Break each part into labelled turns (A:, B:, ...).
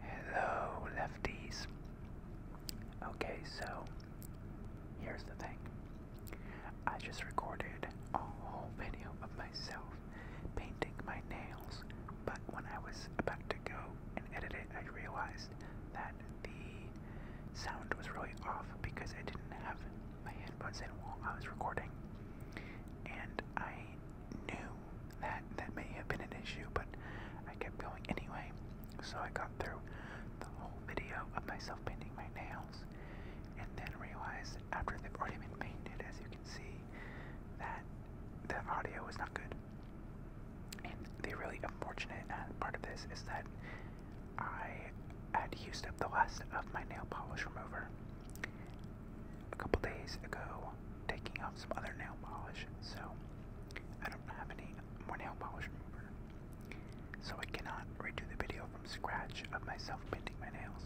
A: Hello, lefties. Okay, so here's the thing I just recorded a whole video of myself painting my nails, but when I was about to go and edit it, I realized that the sound was really off because I didn't have my headphones in while I was recording, and I knew that that may have been an issue, but I kept going anyway. So I got through the whole video of myself painting my nails, and then realized after they've already been painted, as you can see, that the audio was not good. And the really unfortunate uh, part of this is that I had used up the last of my nail polish remover, a couple days ago taking off some other nail polish, so I don't have any more nail polish remover. So I cannot redo the video from scratch of myself painting my nails.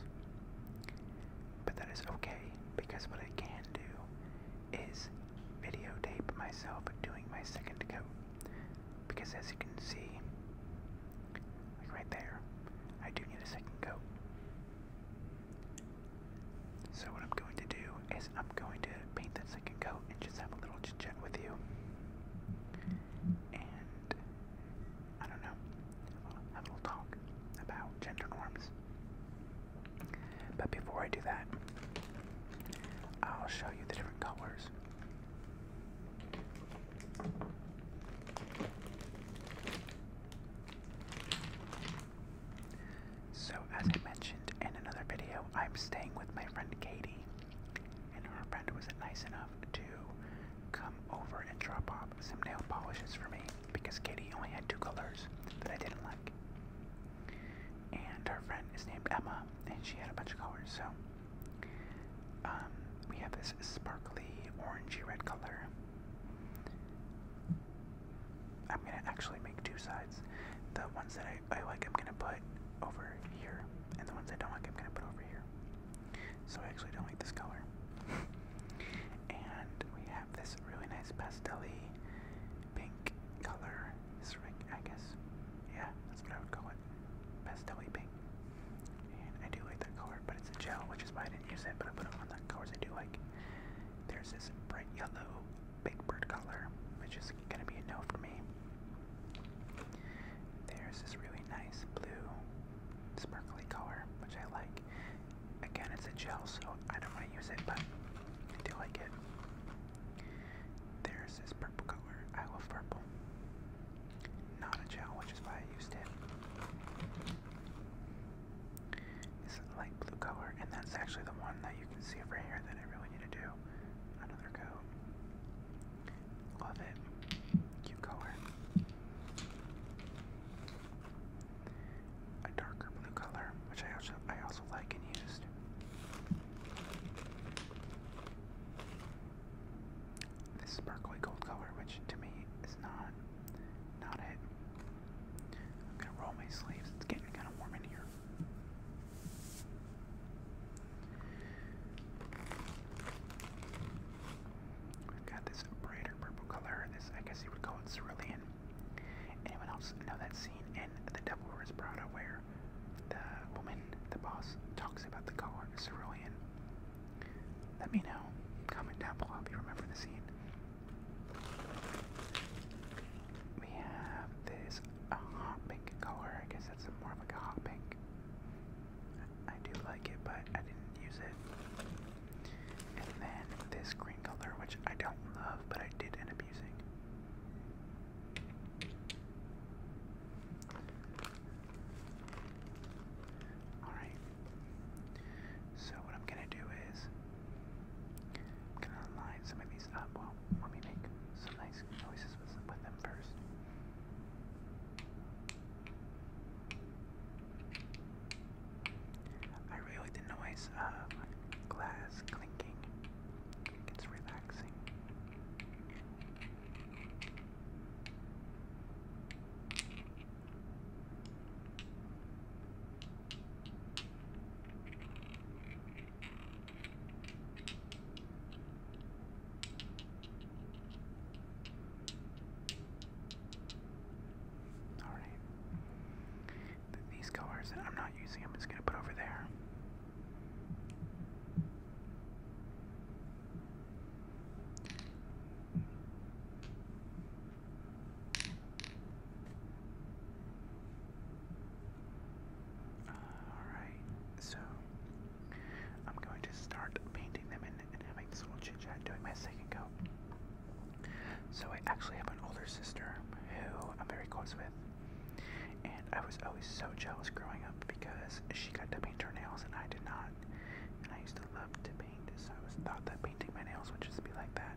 A: But that is okay because what I can do is videotape myself doing my second coat. Because as you can see, right there, I do need a second coat. So what I'm going to do is I'm going to paint that second coat and just have a little chit chat with you. And I don't know, a little talk about gender norms. But before I do that, I'll show you the different colors. So, as I mentioned in another video, I'm staying with my friend Katie, and her friend was nice enough to come over and drop off some nail polishes for me because Katie only had two colors that I didn't like. And her friend is named Emma, and she had a bunch of colors, so. Um, we have this sparkly orangey red color, I'm gonna actually make two sides. The ones that I, like, I'm gonna put over here, and the ones I don't like, I'm gonna put over here. So I actually don't like this color. and we have this really nice pastelly pink color. This ring, I guess. Yeah, that's what I would call it. Pastelly pink. And I do like that color, but it's a gel, which is why I use it, but I put it on the colors I do like. There's this bright yellow big bird color, which is gonna be a no for me. There's this really nice blue sparkly color, which I like. Again, it's a gel, so I don't want to use it, but I do like it. There's this purple color. I love purple. Not a gel, which is why I used it. It's a light blue color, and that's actually the one that you can see over here that I really need to do. Another coat. Love it. Cute color. A darker blue color, which I also I also like and used this sparkly gold color, which to me is not not it. I'm gonna roll my sleeves. It's getting kind of warm in here. i have got this brighter purple color. This, I guess you would call it cerulean. Anyone else know that scene in The Devil Wears Prada where the woman, the boss, talks about the color cerulean? Let me know. Comment down below if you remember the scene. We have this hot pink color. I guess that's more of like a hot pink. I do like it, but I didn't use it. And then this green color, which I don't love, but I did end up using. Alright. So what I'm gonna do is I'm gonna line some of these up. Well, let me make some nice noises with, them first. I really like the noise of glass clinking. It's relaxing. Alright. These colors that I'm not using, I'm just going to put over there. Alright, so I'm going to start painting them and, having this little chit chat, doing my second coat. So I actually have an older sister who I'm very close with, and I was always so jealous growing up because she got to paint her nails and I did not. And I used to love to paint, so I was thought that painting my nails would just be like that.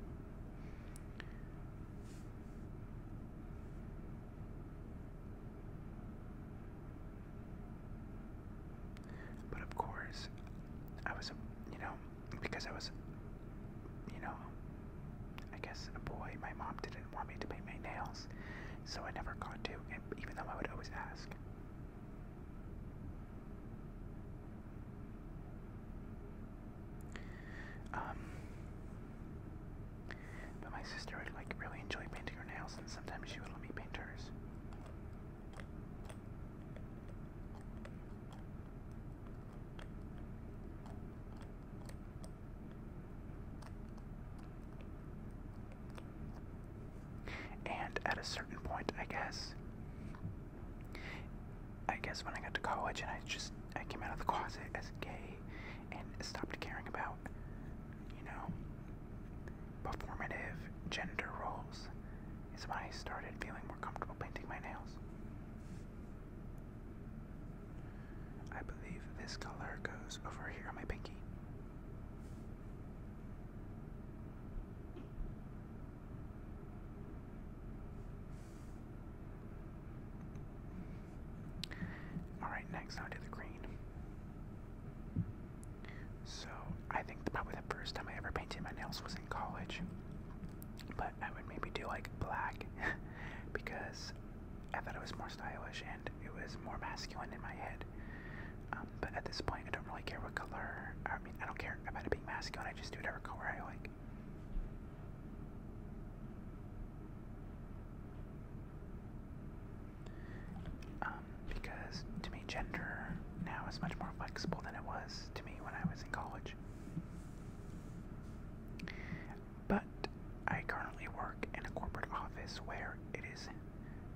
A: But of course, I was, you know, because I was, you know, I guess a boy, my mom didn't want me to paint my nails, so I never got to, And even though I would always ask. Um, but my sister would like really enjoy painting her nails, and sometimes she would let me paint hers. And at a certain point, I guess, I guess when I got to college and I just I came out of the closet as gay and stopped caring about, you know, performative gender roles, is when I started feeling more comfortable painting my nails. I believe this color goes over here on my pinky. Alright, next I'll the green. So, I think probably the first time I ever painted my nails was in college. But I would maybe do like black because I thought it was more stylish and it was more masculine in my head. Um, but at this point, I don't really care what color. I mean, I don't care about it being masculine. I just do whatever color I like. Um, because to me, gender now is much more flexible than it was to me when I was in college but I currently work in a corporate office where it is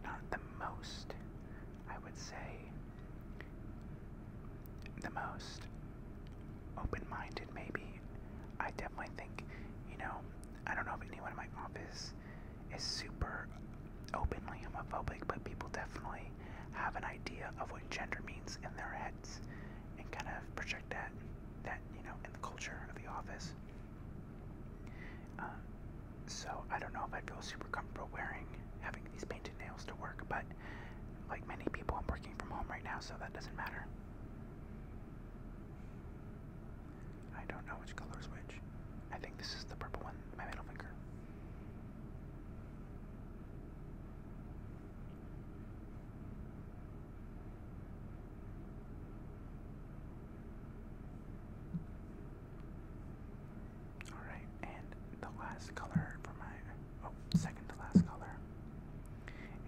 A: not the most, I would say, the most open minded, maybe. I definitely think, you know, I don't know if anyone in my office is super openly homophobic, but people definitely have an idea of what gender means in their heads and kind of project that that you know in the culture of the office. Um, so I don't know if I feel super comfortable wearing having these painted nails to work, but like many people, I'm working from home right now, so that doesn't matter. I don't know which color is which. I think this is the purple one, my middle finger. Alright, and the last color for my oh, second to last color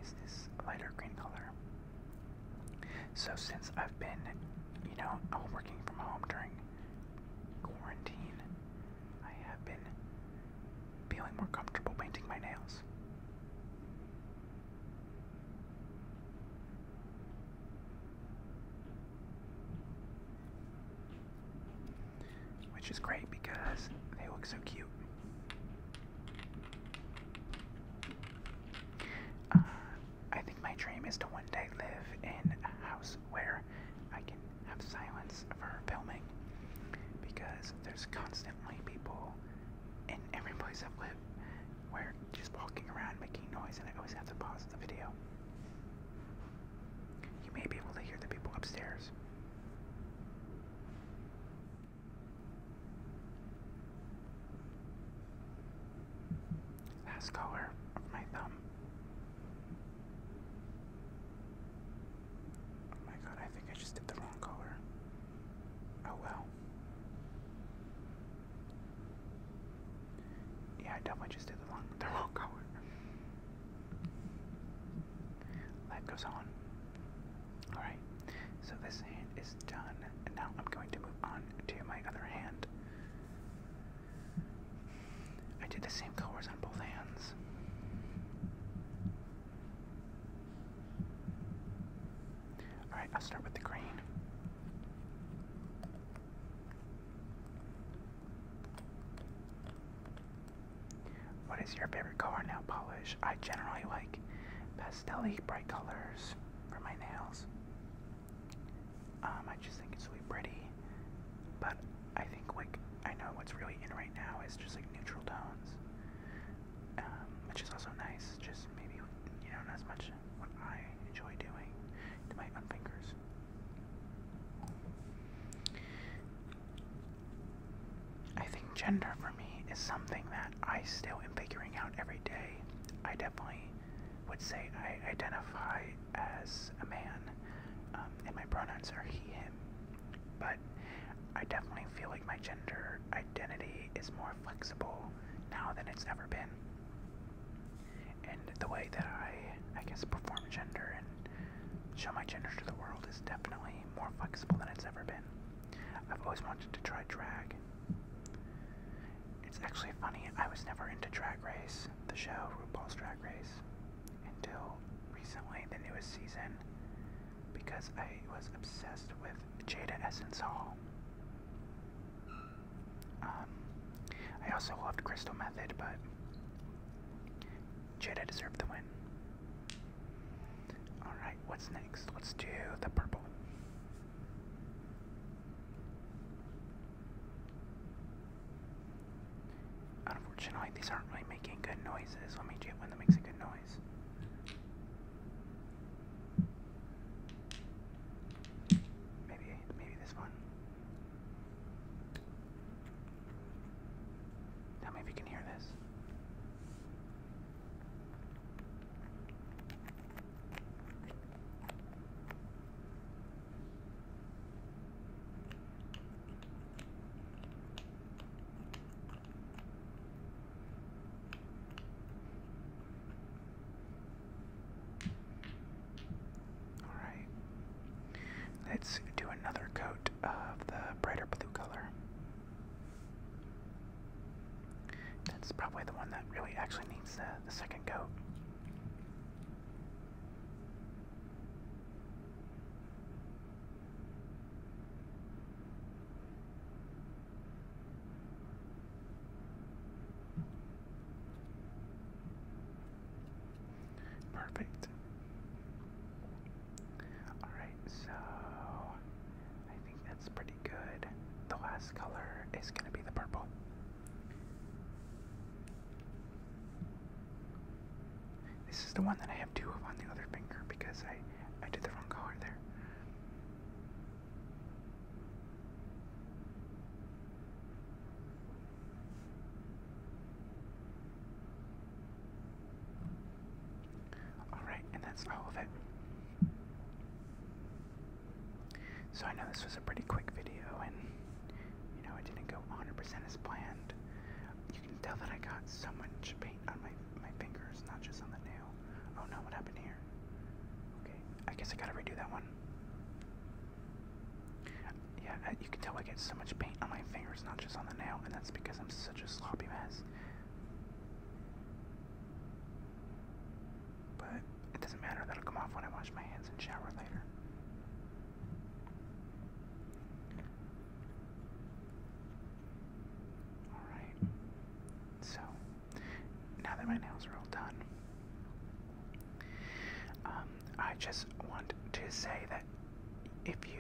A: is this lighter green color. So since I've been, you know, working from home during quarantine, I have been feeling more comfortable painting my nails. Which is great because they look so cute. Uh, I think my dream is to one day live in a house where I can have silence for filming because there's constantly people in every place I've lived where just walking around making noise, and I always have to pause the video. You may be able to hear the people upstairs. Last color of my thumb. Oh my god, I think I just did the wrong color. Oh well. Yeah, I definitely just did the wrong, the wrong color. Life goes on. Alright, so this hand is done, and now I'm going to move on to my other hand. I did the same colors on both hands. Alright, I'll start with the green. What is your favorite color nail polish? I generally like pastel bright colors for my nails. Um, I just think it's really pretty. But I think like I know what's really in right now is just like neutral tones, um, which is also nice. Just maybe you know not as much what I enjoy doing to my own fingers. I think gender for me is something that I still am figuring out every day. I definitely would say I identify as a man, um, and my pronouns are he, him. But I definitely feel like my gender identity is more flexible now than it's ever been. And the way that I, I guess, perform gender and show my gender to the world is definitely more flexible than it's ever been. I've always wanted to try drag. It's actually funny, I was never into Drag Race, the show RuPaul's Drag Race until recently, the newest season, because I was obsessed with Jada Essence Hall. Um, I also loved Crystal Method, but Jada deserved the win. Alright, what's next? Let's do the purple. Unfortunately, these aren't really making good noises. Let me get one that makes a good noise. Maybe, maybe this one. Tell me if you can hear this. Alright. Let's do another coat of the brighter blue color. That's probably the one that really actually needs the, the second coat. Perfect. Alright, so I think that's pretty good. The last color is going to be the purple. This is the one that I have two of on the other finger because I, I did the wrong color there. Alright, and that's all of it. So I know this was a pretty quick video, and you know it didn't go 100% as planned. You can tell that I got so much paint on my my fingers, not just on the nail. Oh no, what happened here? Okay, I guess I gotta redo that one. Yeah, you can tell I get so much paint on my fingers, not just on the nail, and that's because I'm such a sloppy mess. But it doesn't matter, that'll come off when I wash my hands and shower later. Alright, so now that my nails are all done, um, I just want to say that if you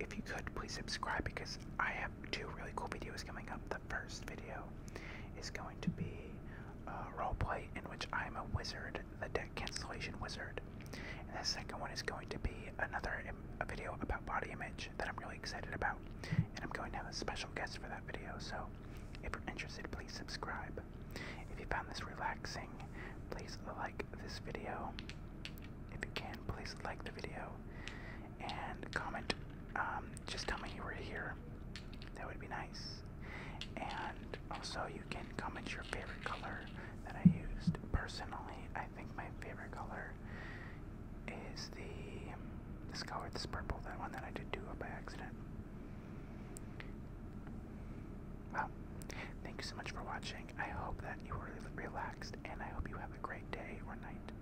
A: if you could please subscribe because I have two really cool videos coming up. The first video is going to be uh, roleplay in which I am a wizard, the deck cancellation wizard. And the second one is going to be another um, a video about body image that I'm really excited about. And I'm going to have a special guest for that video, so if you're interested, please subscribe. If you found this relaxing, please like this video. If you can, please like the video and comment. Um, just tell me you were here. That would be nice. And also, you can comment your favorite color that I used. Personally, I think my favorite color is the this color, this purple, that one that I did do by accident. Well, thank you so much for watching. I hope that you were relaxed, and I hope you have a great day or night.